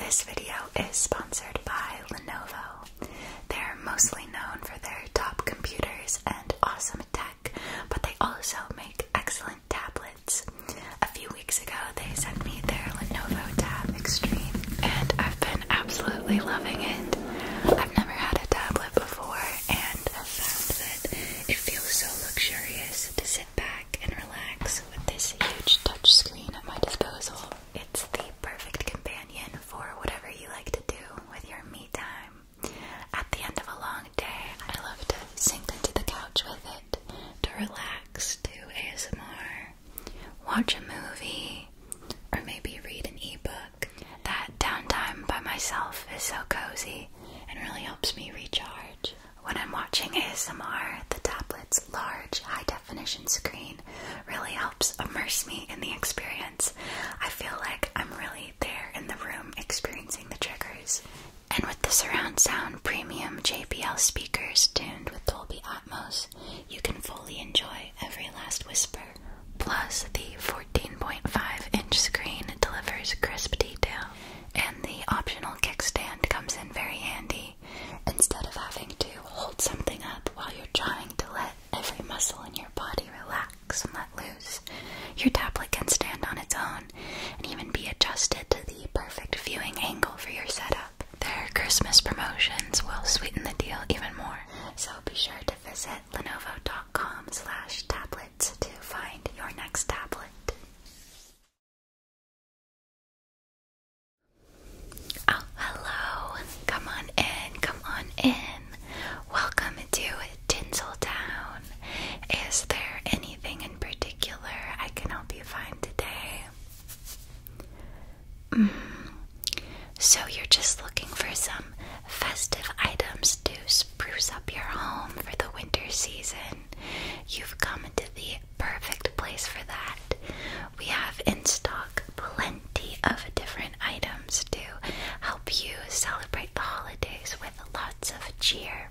This video is sponsored by Lenovo. They're mostly known for their top computers and awesome tech, but they also make excellent tablets. A few weeks ago, they sent me their Lenovo Tab Extreme, and I've been absolutely loving it. I've never had a tablet before, and I've found that it feels so luxurious to sit back and relax with this huge touch screen at my disposal. It's the perfect companion for whatever you like to do with your me time. At the end of a long day, I love to sink into the couch with it, to relax, do ASMR, watch a movie, or maybe read an e-book. That downtime by myself is so cozy and really helps me recharge. When I'm watching ASMR, the tablets large, high definition screen really helps immerse me in the experience. I feel like I'm really there in the room experiencing the triggers. And with the surround sound premium JBL speakers tuned with Dolby Atmos, you can fully enjoy every last whisper. Plus, the 14.5 inch screen delivers crisp detail, and the optional kickstand comes in very handy instead of having to hold something up while you're trying to let every muscle in your body relax and let loose. Your tablet can stand on its own and even be adjusted to the perfect viewing angle for your setup. Their Christmas promotions will sweeten the deal even more, so be sure to visit lenovo.com slash tablets to find your next tablet. Oh, hello. Come on in. Come on in. Welcome to Tinseltown. Is there anything in particular I can help you find today? Mm. So, you're just looking for some festive items to spruce up your home for the winter season. You've come to the perfect place for that. We have in stock plenty of different items to help you celebrate the holidays with lots of cheer.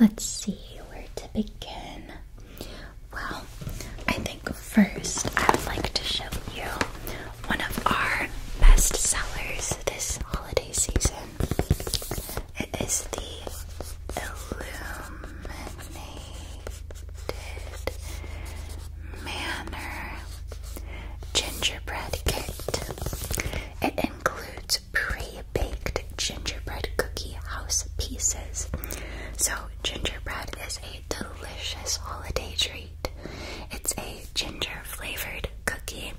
Let's see where to begin. Well, I think first I would like to show you one of our best sellers this holiday season. It is the Illuminate manner gingerbread kit. It includes pre-baked gingerbread cookie house pieces. So gingerbread is a delicious holiday treat. It's a ginger flavored cookie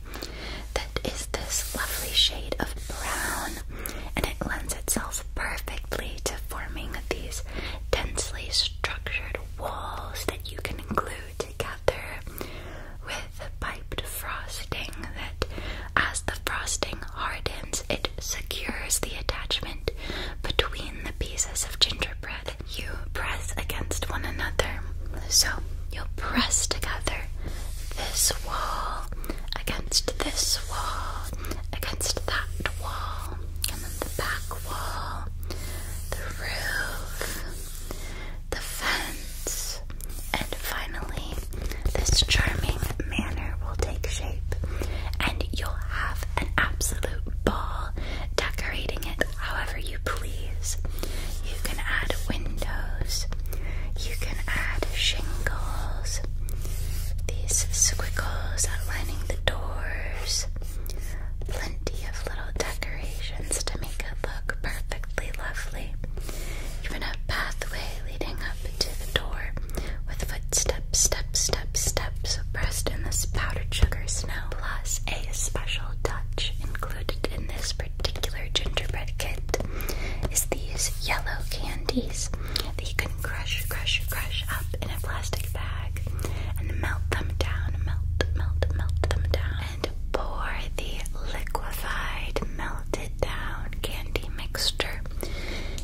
that is this lovely shade of brown and it lends itself perfectly to forming these densely structured walls that you can glue together with piped frosting that, as the frosting hardens, it secures the attachment between the pieces of gingerbread you press against one another. So you'll press together this wall against this wall against that wall, and the back wall, the roof, the fence, and finally, this charming manor will take shape, and you'll have an absolute ball decorating it however you please. You can add windows, you can add shingles squiggles. These squiggles outlining the doors. Plenty of little decorations to make it look perfectly lovely. Even a pathway leading up to the door with footsteps, steps, steps, steps pressed in this powdered sugar snow. Plus, a special touch included in this particular gingerbread kit is these yellow candies that you can crush, crush, crush up in a plastic bag and melt them down, melt, melt, melt them down, and pour the liquefied, melted down candy mixture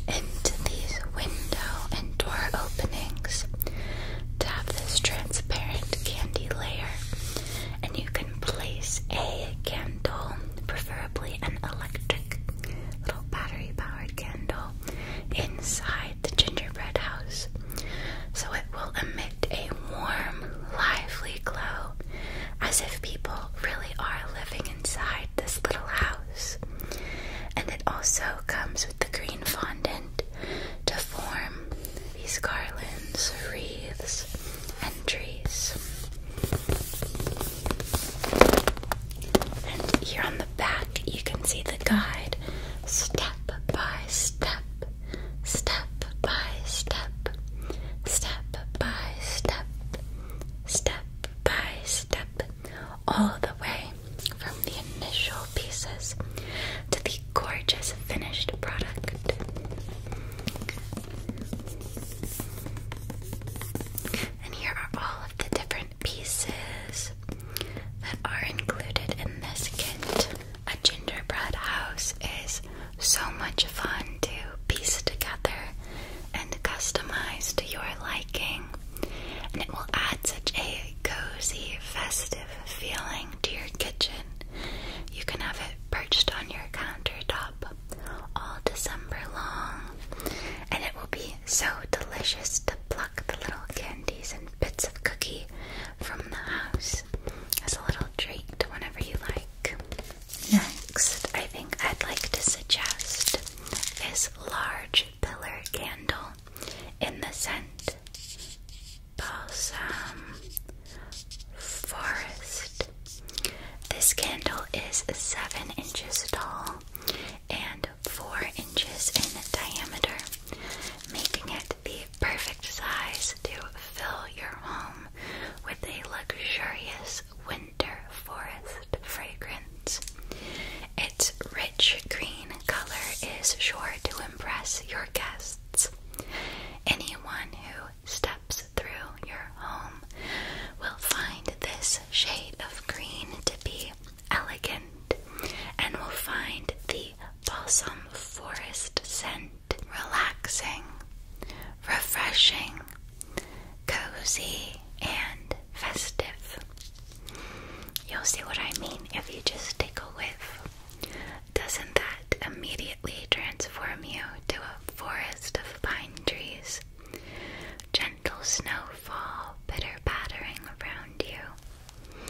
into these window and door openings to have this transparent candy layer. And you can place a candle, preferably an electric little battery powered candle inside the gingerbread house. So it will emit a warm, lively glow as if people really are living inside this little house. And it also comes with the green fondant to form these garlands, wreaths, and trees. And here on the back, you can see the guide step by step, step by step, step by step, step by step, all the way from the initial pieces to the gorgeous finished product. And here are all of the different pieces that are included in this kit. A gingerbread house is so much fun to piece together and customize to your liking, and it will add such a cozy, festive feeling to your kitchen. You can have it perched on your countertop all December long, and it will be so delicious to pluck the little candies and bits of cookie from the house as a little treat whenever you like. Next, I think I'd like to suggest this large pillar candle in the scent Balsam Forest. This candle is seven inches tall and 4 inches in diameter, making it the perfect size to fill your home with a luxurious winter forest fragrance. Its rich green color is sure to impress your guests. Anyone who steps through your your home will find this shade of green to be elegant and will find the balsam forest scent relaxing, refreshing, cozy, and festive. You'll see what I mean if you just take a whiff. Doesn't that immediately transform you to a forest of pine trees? gentle snowfall pitter pattering around you.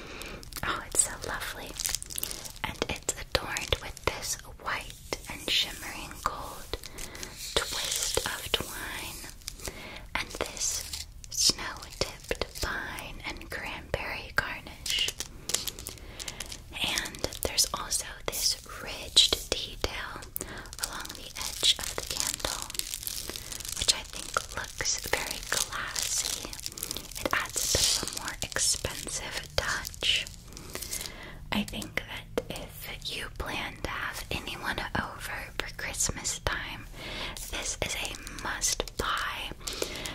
Oh, it's so lovely. And it's adorned with this white and shimmering gold twist of twine. And this snow tipped vine and cranberry garnish. And there's also this ridged detail along the edge of the candle, which I think looks very classy. It adds a bit of more expensive touch. I think that if you plan to have anyone over for Christmas time, this is a must buy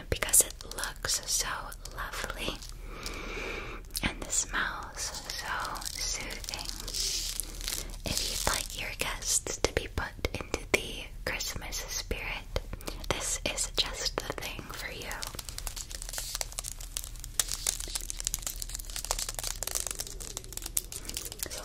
because it looks so lovely and the smell so soothing. If you'd like your guests to be put into the Christmas spirit, this is just the thing for you.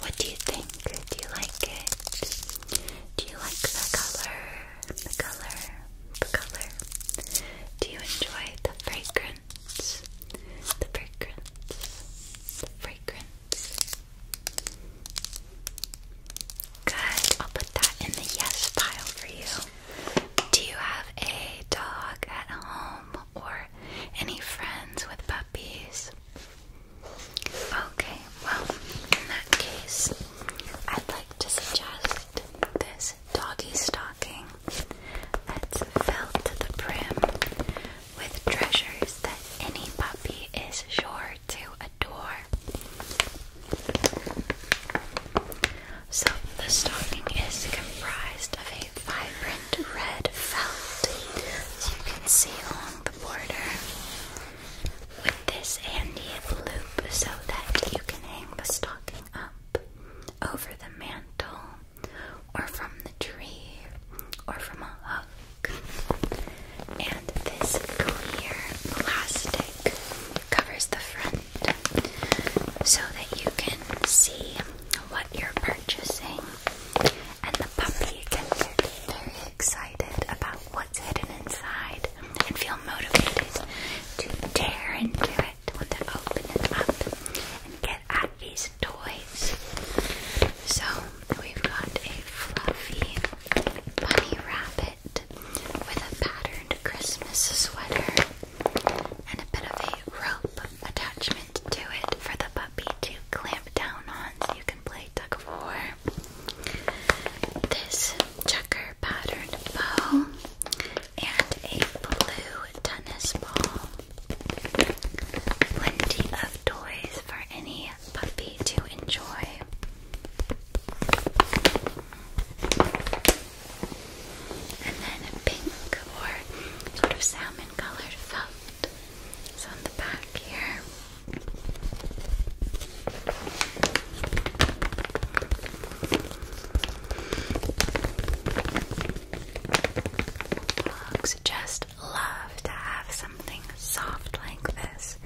what do you think? Do you like it? Do you like the color? The color? The color? Do you enjoy the fragrance? the fragrance, the fragrance. Good, I'll put that in the yes pile for you. Do you have a dog at home or any friends with puppies? Okay, well, in that case, I'd like to suggest this doggy stocking that's felt to the brim with treasures that any puppy is sure to adore. So the stocking is comprised of a vibrant red felt, as you can see along the border, with this handy loop so that you can hang the stocking up over the mantle or from the tree, or from a hook. And this clear plastic covers the front so that you can see what you're purchasing, and the puppy can get very excited about what's hidden inside and feel motivated to tear into it when open it up and get at these toys. So we've got a fluffy bunny rabbit with a patterned Christmas sweater and a bit of a rope attachment to it for the puppy to clamp down on so you can play tug of war. This checker patterned bow and a blue tennis ball. Plenty of toys for any puppy to enjoy. And then pink or sort of salmon colored felt is on the back here just love to have something soft like this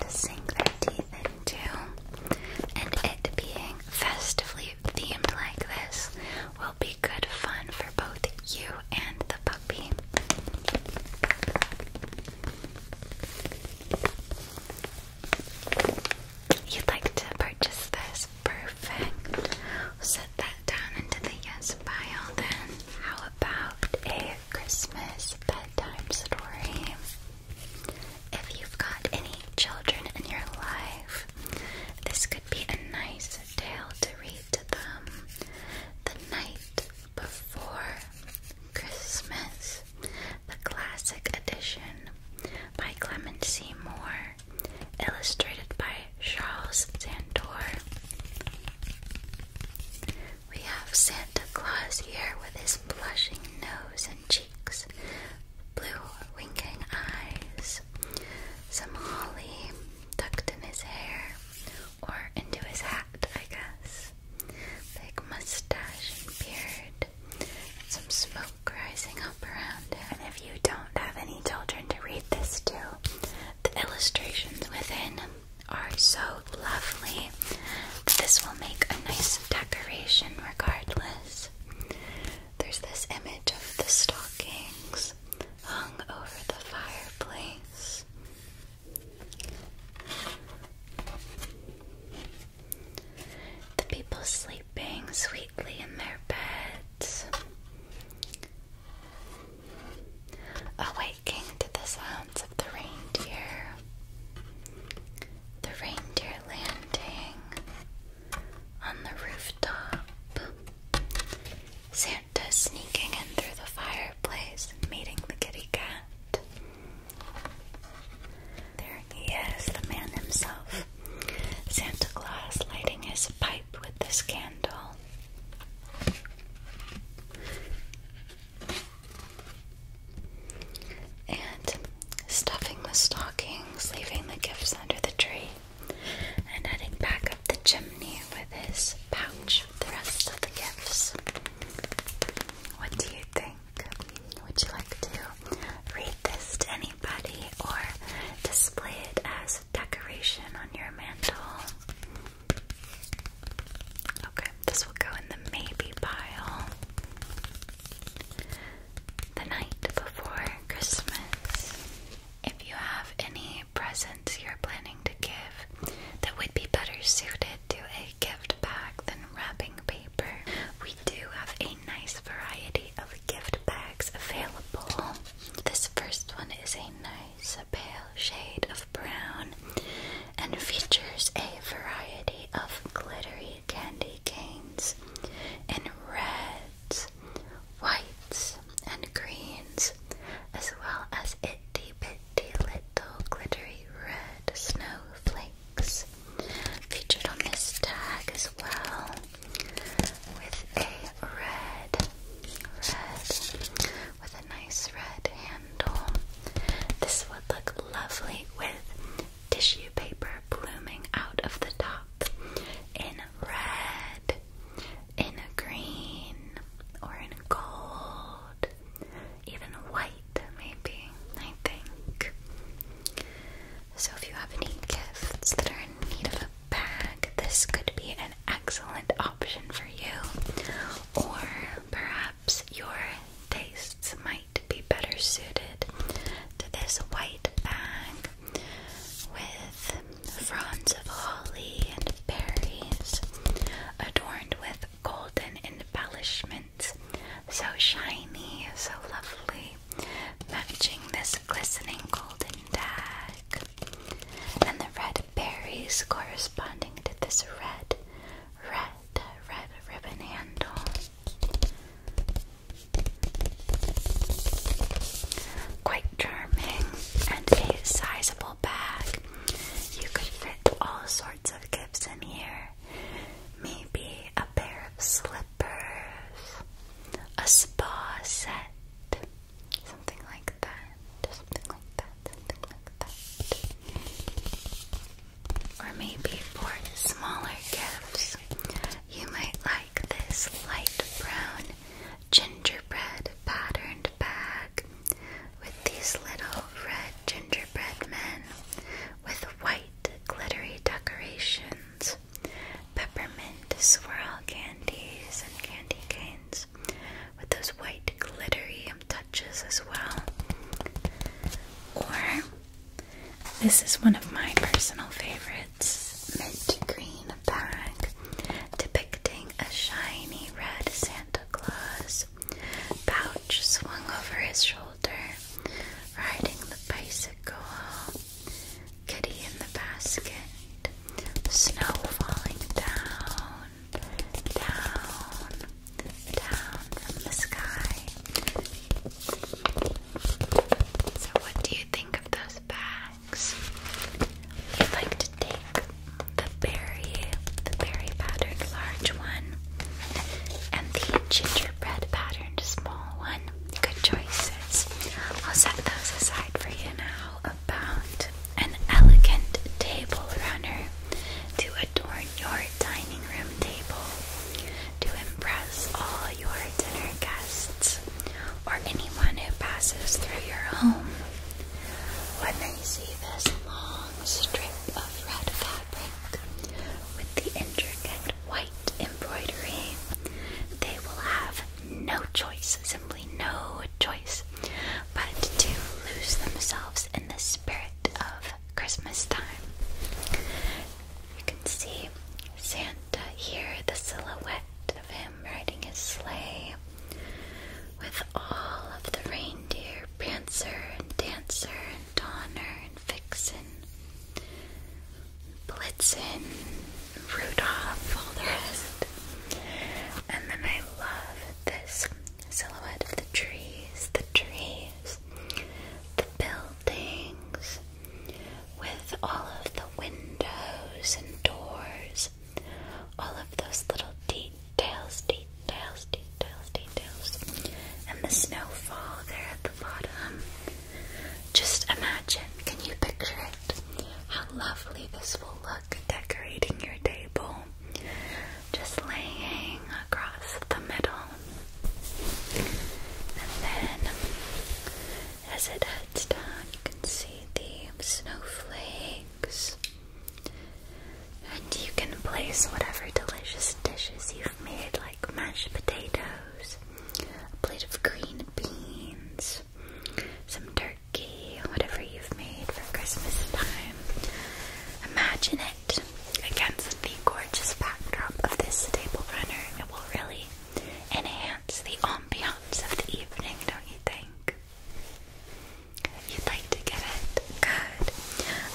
to sink their teeth into, and it being festively themed like this will be good fun for both you and the puppy. You'd like to purchase this? Perfect set that down into the yes pile then. How about a Christmas bedtime story? If you've got any children in your life, this could be a nice tale to read to them. The Night Before Christmas, the classic edition by Clement C. Moore illustrated by Charles Zandor, We have Santa Claus here with his blushing nose and cheeks, blue winking eyes, some holly tucked in his hair or into his hat, I guess, big mustache and beard. Some smoke rising up around him. if you don't have any children to read this to, the illustrations within are so lovely that this will make a nice decoration regardless. There's this image of the stockings hung over the fireplace. The people sleeping sweetly in their beds. Awaking to the sounds of the reindeer, the reindeer landing on the rooftop, Santa sneaking in through the fireplace meeting the kitty cat. There he is, the man himself. Santa Claus lighting his pipe with this candle. And stuffing the stockings, leaving the gifts under the tree, and heading back up the chimney with his pouch of the rest of the gifts. What do you think? Would you like to read this to anybody or display it as decoration on your mantle. Okay, this will go in the maybe pile. The night before Christmas. If you have any presents you're planning to give that would be better suited to a gift bag than wrapping paper, we do have a nice variety of gift bags available. This first one is a nice pale shade of brown and features a variety of glittery candy canes in reds, whites, and greens, as well as itty bitty little glittery red snowflakes featured on this tag as well with a red, red, with a nice red handle. This would look lovely with tissue paper blooming out of the top in red, in green, or in gold, even white, maybe, I think. So, if you have any gifts that are in need of a bag, this could be an excellent option for you, or perhaps your tastes might be better suited to this white bag with fronds of holly and berries, adorned with golden embellishments, so shiny, so lovely, matching this glistening golden bag and the red berries corresponding to this red, red, red ribbon handle. Quite charming and a sizable bag. You could fit all sorts of gifts in here. Maybe a pair of slippers, a spa set, Something like that. Something like that. Something like that. Or maybe for smaller gifts, you might like this light brown gingerbread patterned bag with these little red gingerbread men with white glittery decorations, peppermint to swirl candies and candy canes with those white glittery touches as well. Or this is one of my personal favorites, mint green bag depicting a shiny red Santa Claus pouch swung over his shoulder, riding the bicycle Kitty in the basket. Snow falling down, down, down from the sky. So, what do you think of those bags? I'd like to take the berry, the berry patterned large one, and the gingerbread patterned small one. Good choices. I'll set those aside for you now, about an elegant table runner to adorn your dining room table to impress all your dinner guests or anyone who passes through your home. When they see this long strip of red fabric with the intricate white embroidery, they will have no choice, simply no choice, but to lose themselves in the spirit of Christmas time. You can see Santa here, the silhouette of him riding his sleigh with all of the reindeer Prancer and Dancer and Donner and Vixen. Blitzen Rudolph, all the And then I love this silhouette of the trees, the trees, the buildings, with all of the windows and doors, all of those little details, details, details, details, and the snowfall there at the bottom. Just imagine, can you picture it? How lovely this will look decorating your table. Just laying across the middle. And then as it heads down, you can see the snowflakes. And you can place whatever delicious dishes you've made, like mashed potatoes, a plate of green beans, some turkey, whatever you've made for Christmas time. Imagine it against the gorgeous backdrop of this table runner. It will really enhance the ambiance of the evening, don't you think? You'd like to get it? Good.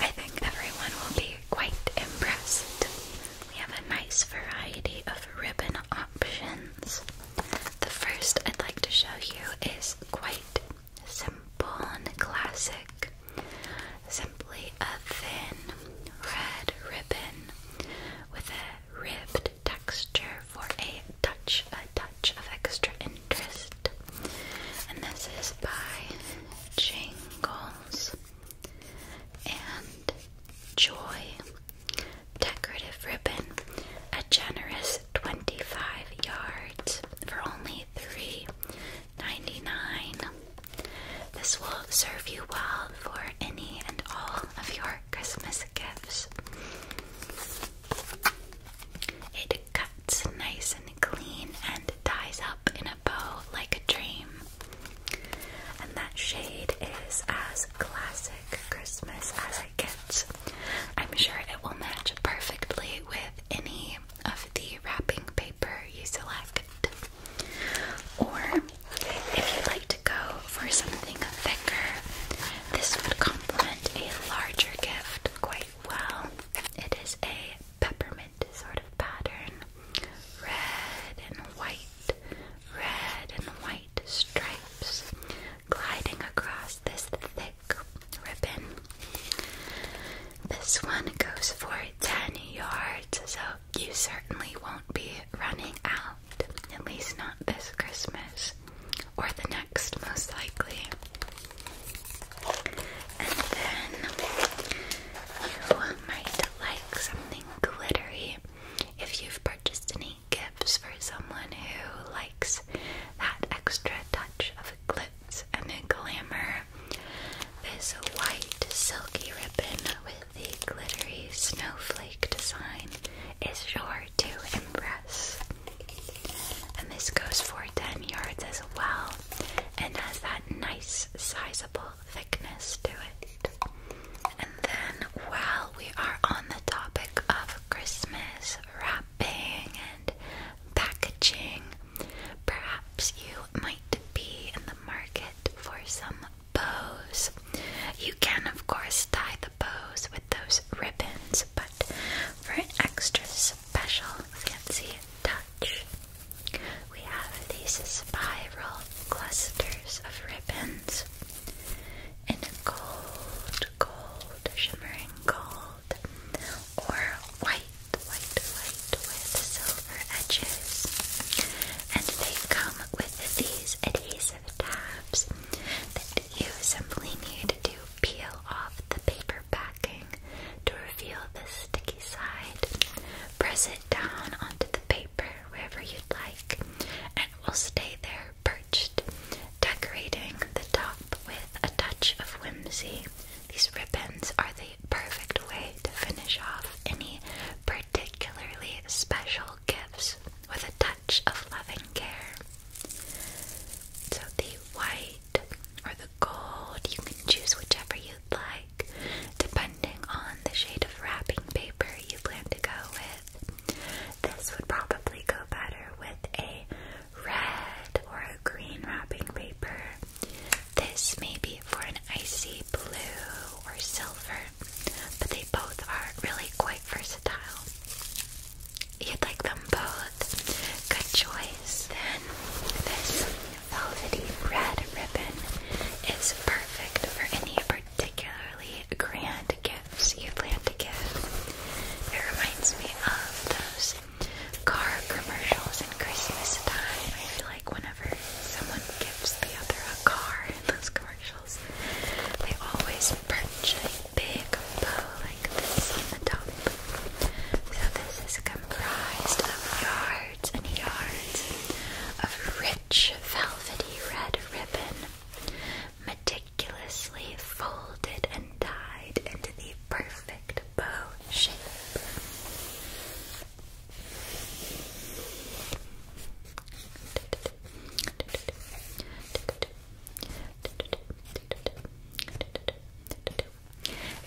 I think everyone will be quite impressed. We have a nice variety of ribbon options. The first I'd like to show you is quite simple and classic. Simply a thin red ribbon with a ribbed texture for a touch, a touch of extra interest. And this is by Jingles and Joy decorative ribbon a generous 25 yards for only $3.99 this will serve you well for any and all of your Christmas gifts it cuts nice and clean and ties up in a bow like a dream and that shade is as classic Christmas as I'm sure it will match perfectly with any of the wrapping paper you select. Or if you'd like to go for something thicker, this would complement a larger gift quite well. It is a peppermint sort of pattern. Red and white, red and white stripes gliding across this thick ribbon. This one goes for 10 yards, so you certainly won't be running out, at least not this Christmas or the next, most likely. And then you might like something glittery if you've purchased any gifts for someone who likes that extra touch of glitz and glamour. This white silky ribbon with the glittery snowflake design is sure to impress. And this goes for 10 yards as well and has that nice sizeable thickness to it. And then, while we are on the topic of Christmas wrapping and packaging, perhaps you might be in the market for some bows. You can, of course, tie the bows with those ribbons, but for an extra special fancy touch, we have these spiral clusters of ribbons in gold, gold, shimmering gold, or white, white, white with silver edges. And they come with these adhesive tabs that you simply need to peel off the paper backing to reveal the sticky side. Press it down onto the paper wherever you'd like, and it will stay there perched, decorating the top with a touch of whimsy. These ribbons are the perfect way to finish off any particularly special gifts with a touch of loving care. So the white or the gold, you can choose whichever you'd like, depending on the shade of wrapping paper you plan to go with. This would probably go better with a red or a green wrapping paper. This may be for an icy blue or silver, but they both are really quite versatile. You'd like them both. Good choice. Then this velvety red ribbon is perfect for any particularly grand gift. So you plan to give. It reminds me of those car commercials in Christmas time. I feel like whenever someone gives the other a car in those commercials, they always perch a big bow like this on the top. So this is comprised of yards and yards of rich velvety red ribbon meticulously folded and dyed into the perfect bow shape.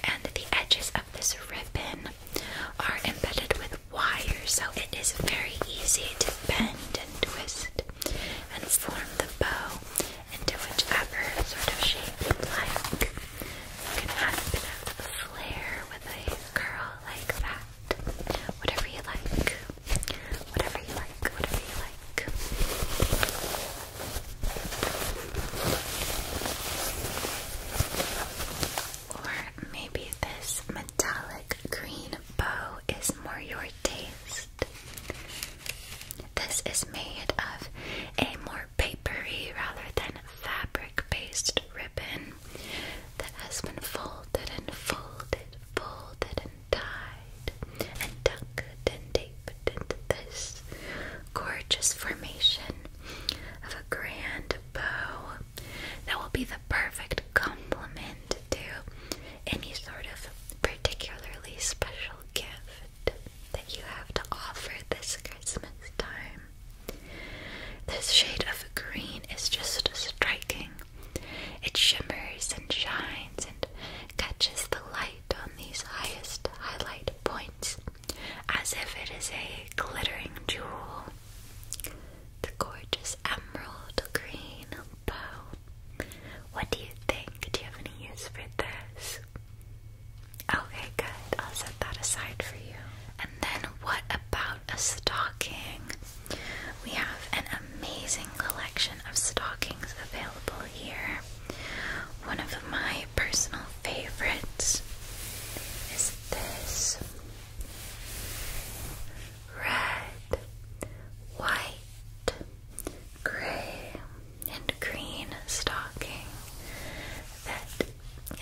And the edges of this ribbon are embedded with wire, so it is very easy to bend and twist and form the bow into whichever sort of shape you like. You can add a bit of a with a curl like that. Whatever you like. Whatever you like, whatever you like. Or maybe this metallic green bow is more your taste. This is made of a more papery rather than fabric based ribbon that has been folded and folded, folded and tied, and tucked and taped into this gorgeous formation of a grand bow that will be the perfect complement to any sort of particularly special gift that you have to offer this Christmas time. This shade of green is just striking. It shimmers and shines and catches the light on these highest highlight points as if it is a glittering jewel. The gorgeous emerald green bow. What do you think? Do you have any use for this? Okay, good. I'll set that aside for you. And then, what about a stocking? We have an amazing collection of stockings available here. One of my personal favorites is this red, white, gray, and green stocking that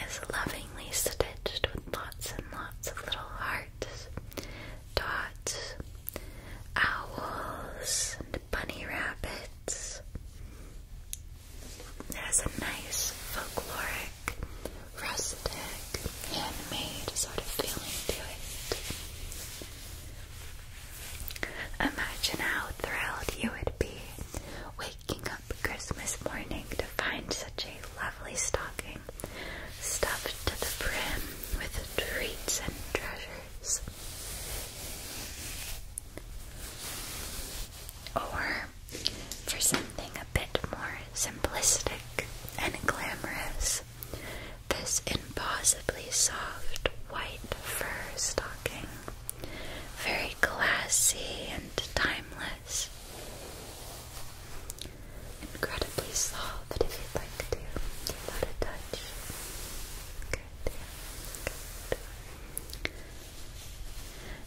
is lovingly stitched with lots and lots of little hearts, dots, owls, and bunny rabbits. It has a nice folkloric, rustic like handmade sort of feeling to it. Imagine how thrilled you would be waking up Christmas morning to find such a lovely stocking stuffed to the brim with treats and treasures. Or for something a bit more simplistic and glamorous, this impossibly soft white fur stocking. Very classy and timeless. Incredibly soft if you'd like to give a touch.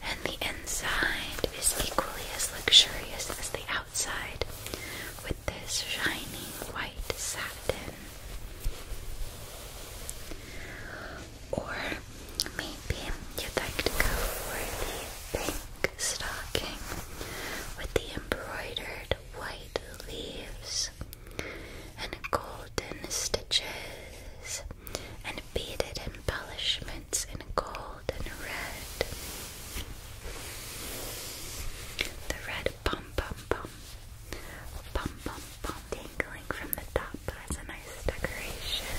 And the inside is equally as luxurious as the outside outside with this shining white satin. Or maybe you'd like to go for the pink stocking with the embroidered white leaves and golden stitches and beaded embellishments in gold and red. The red pom pom pom, pom pom pom, dangling from the top as a nice decoration.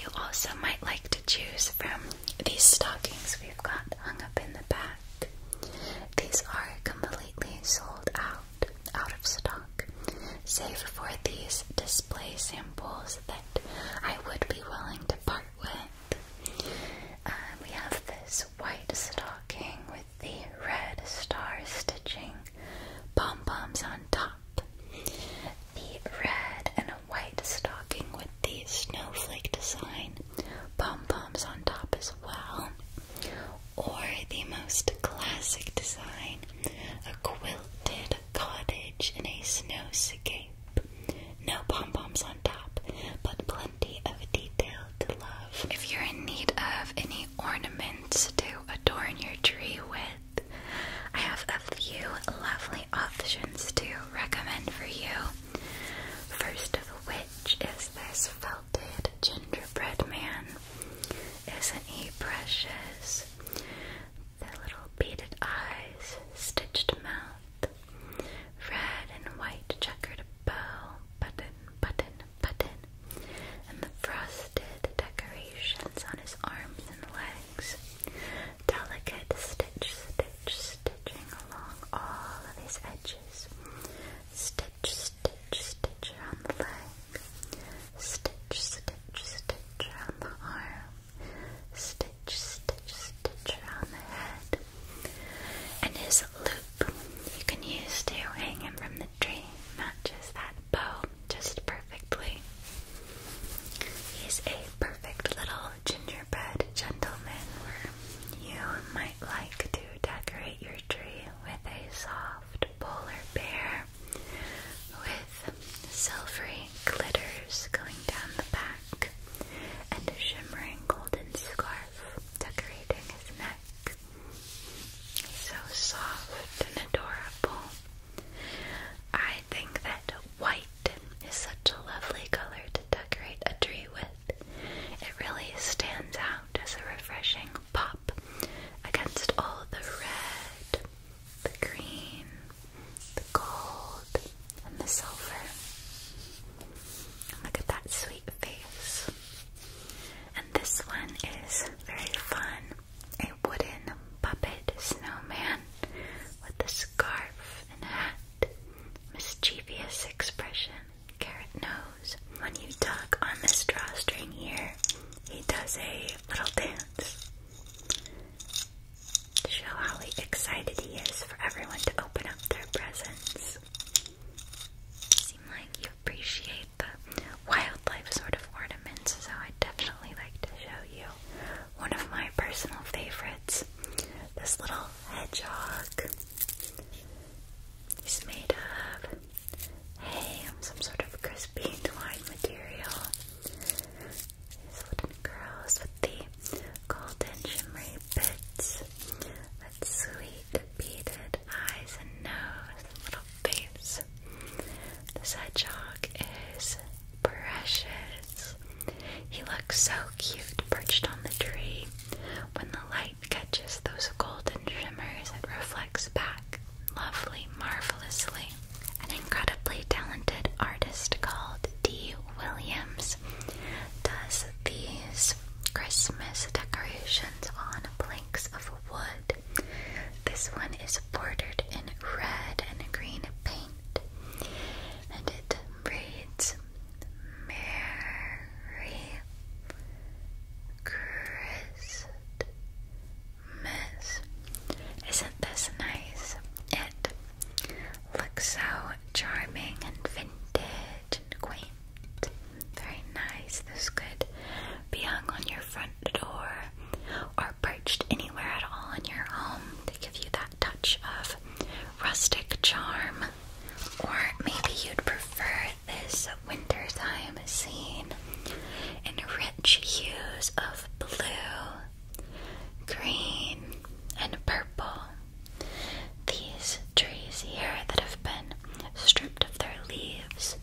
You also might like to choose from these stockings we've got hung up in the back. These are completely sold out, out of stock, save for these display samples that I would be willing to part um, we have this white stocking with the red star stitching pom poms on top. The red and white stocking with the snowflake design pom poms on top as well. Or the most classic design, a quilted cottage in a snowscape. No pom poms on top, but plenty of detail to love. If you're in need of any ornaments to adorn your tree with, I have a few lovely options to recommend for you. First of which is this felted gingerbread man. Isn't he precious? The little beaded eyes, stitched mouth, Red and white checkered bow, button, button, button, and the frosted decorations on his arms and legs. Delicate stitch, stitch, stitching along all of his edges. Stitch, stitch, stitch around the leg. Stitch, stitch, stitch around the arm. Stitch, stitch, stitch around the head. And his loop you can use to hang him from the tree matches that bow just perfectly. He's a perfect little gingerbread gentleman where you might like to decorate your tree with a soft polar bear with silvery glitters going down the back, and a shimmering golden scarf decorating his neck. So soft and adorable. I think that white is such a lovely color to decorate a tree with. It really stands out as a refreshing pop against all the red the green, the gold, and the silver. look at that sweet face. And this one is very fun a wooden puppet snowman with a scarf and hat, mischievous expression, carrot nose. When you tug on the drawstring here, he does a little dance to show how excited he is for everyone to open up their presents. Seem like you appreciate the wildlife sort of ornaments, so I'd definitely like to show you one of my personal favorites. This little hedgehog. He's made of hay some sort of crispy twine material. Golden curls with the golden shimmery bits. That sweet beaded eyes and nose little face. This hedgehog is precious. He looks so cute perched on the tree. When the light catches those golden shimmers, it reflects back lovely, marvelously an incredibly talented artist called Dee Williams, does these Christmas decorations on planks of wood. This one is bordered in red and green paint, and it reads Merry Christmas. Isn't this nice? It Looks so charming and vintage and quaint. Very nice. This could be hung on your front door or perched anywhere at all in your home They give you that touch of rustic charm. Or maybe you'd prefer this wintertime scene in rich hues of blue, green, and purple. These trees here that have been stripped of their leaves,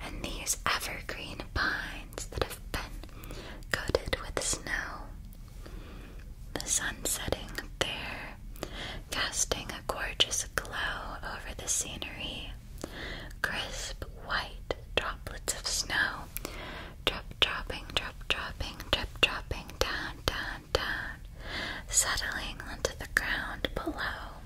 and these evergreen pines that have been coated with snow. The sun setting there, casting a gorgeous glow over the scenery. Crisp white droplets of snow Drip dropping, drip dropping, drip dropping down, down, down, settling onto the ground below.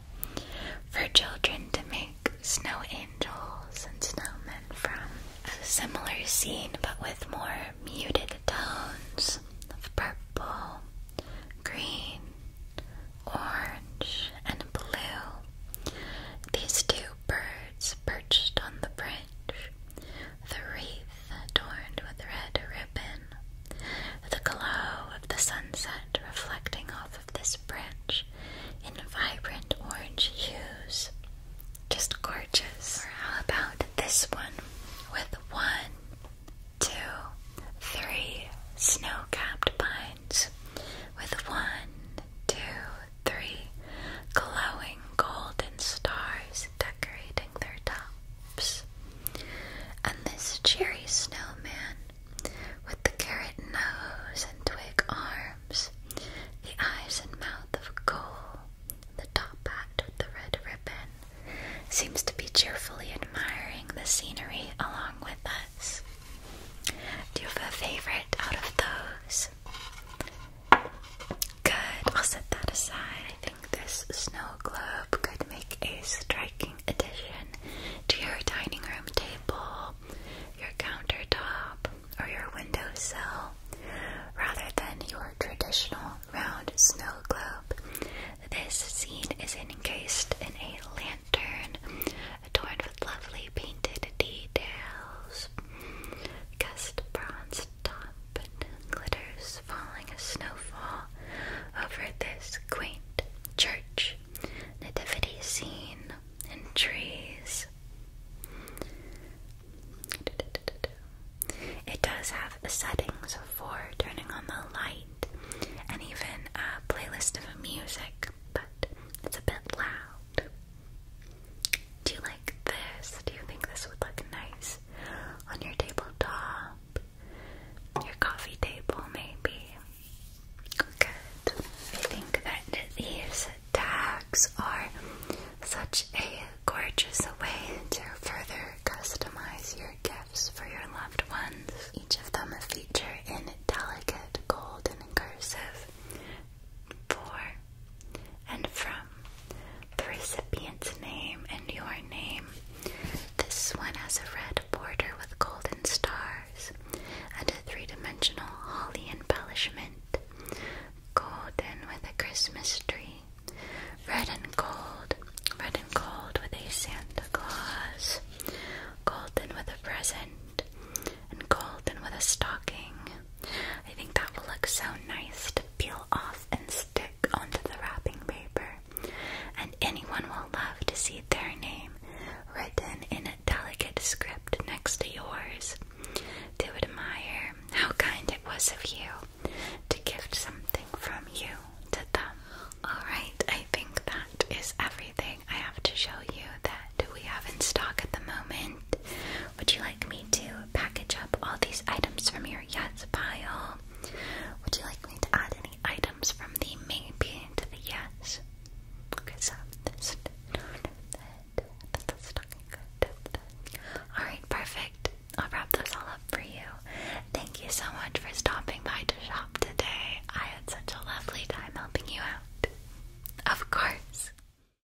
For children to make snow angels and snowmen from. A similar scene, but with more muted tones of purple, green, orange, and blue. These two birds perched on the branch the wreath adorned with red ribbon, the glow of the sunset reflecting off of this branch in vibrant orange hues. Just gorgeous. Or how about this one with one, two, three snow capped pines with one, two, three glowing golden stars decorating their tops. And this cheery snowman, with the carrot nose and twig arms, the eyes and mouth of coal, the top hat with the red ribbon, seems to be cheerfully admiring the scenery along with us. Do you have a favorite out of those? Good, I'll set that aside. I think this snow globe could make a striking addition to your dining room table, your countertop, or your windowsill. Rather than your traditional round snow globe, this scene is encased in a lantern adorned with lovely painted details cast bronze top glitters falling a snowfall over this quaint church, nativity scene, and trees. It does have settings for turning on the light and even a playlist of music, but it's a bit loud. Do you like this? Do you think this would look nice on your tabletop? Your coffee table, maybe. Good. I think that these tags are such a gorgeous way to further customize your gifts for your loved ones. Each of them feature in delicate gold and incursive for and from the recipient's name and your name. This one has a red border with golden stars and a three dimensional holly embellishment. Golden with a Christmas tree. Red and gold. Red and gold with a Santa Claus. Golden with a present and gold and with a stocking. I think that will look so nice to peel off and stick onto the wrapping paper. And anyone will love to see their name written in a delicate script next to yours. They would admire how kind it was of you to gift something from you to them. Alright, I think that is everything I have to show you that we have in stock at the moment. Would you like? like me to package up all these items from your yes pile? Would you like me to add any items from the main bin to the yes? Okay, so this, Alright, perfect. I'll wrap those all up for you. Thank you so much for stopping by to shop today. I had such a lovely time helping you out. Of course.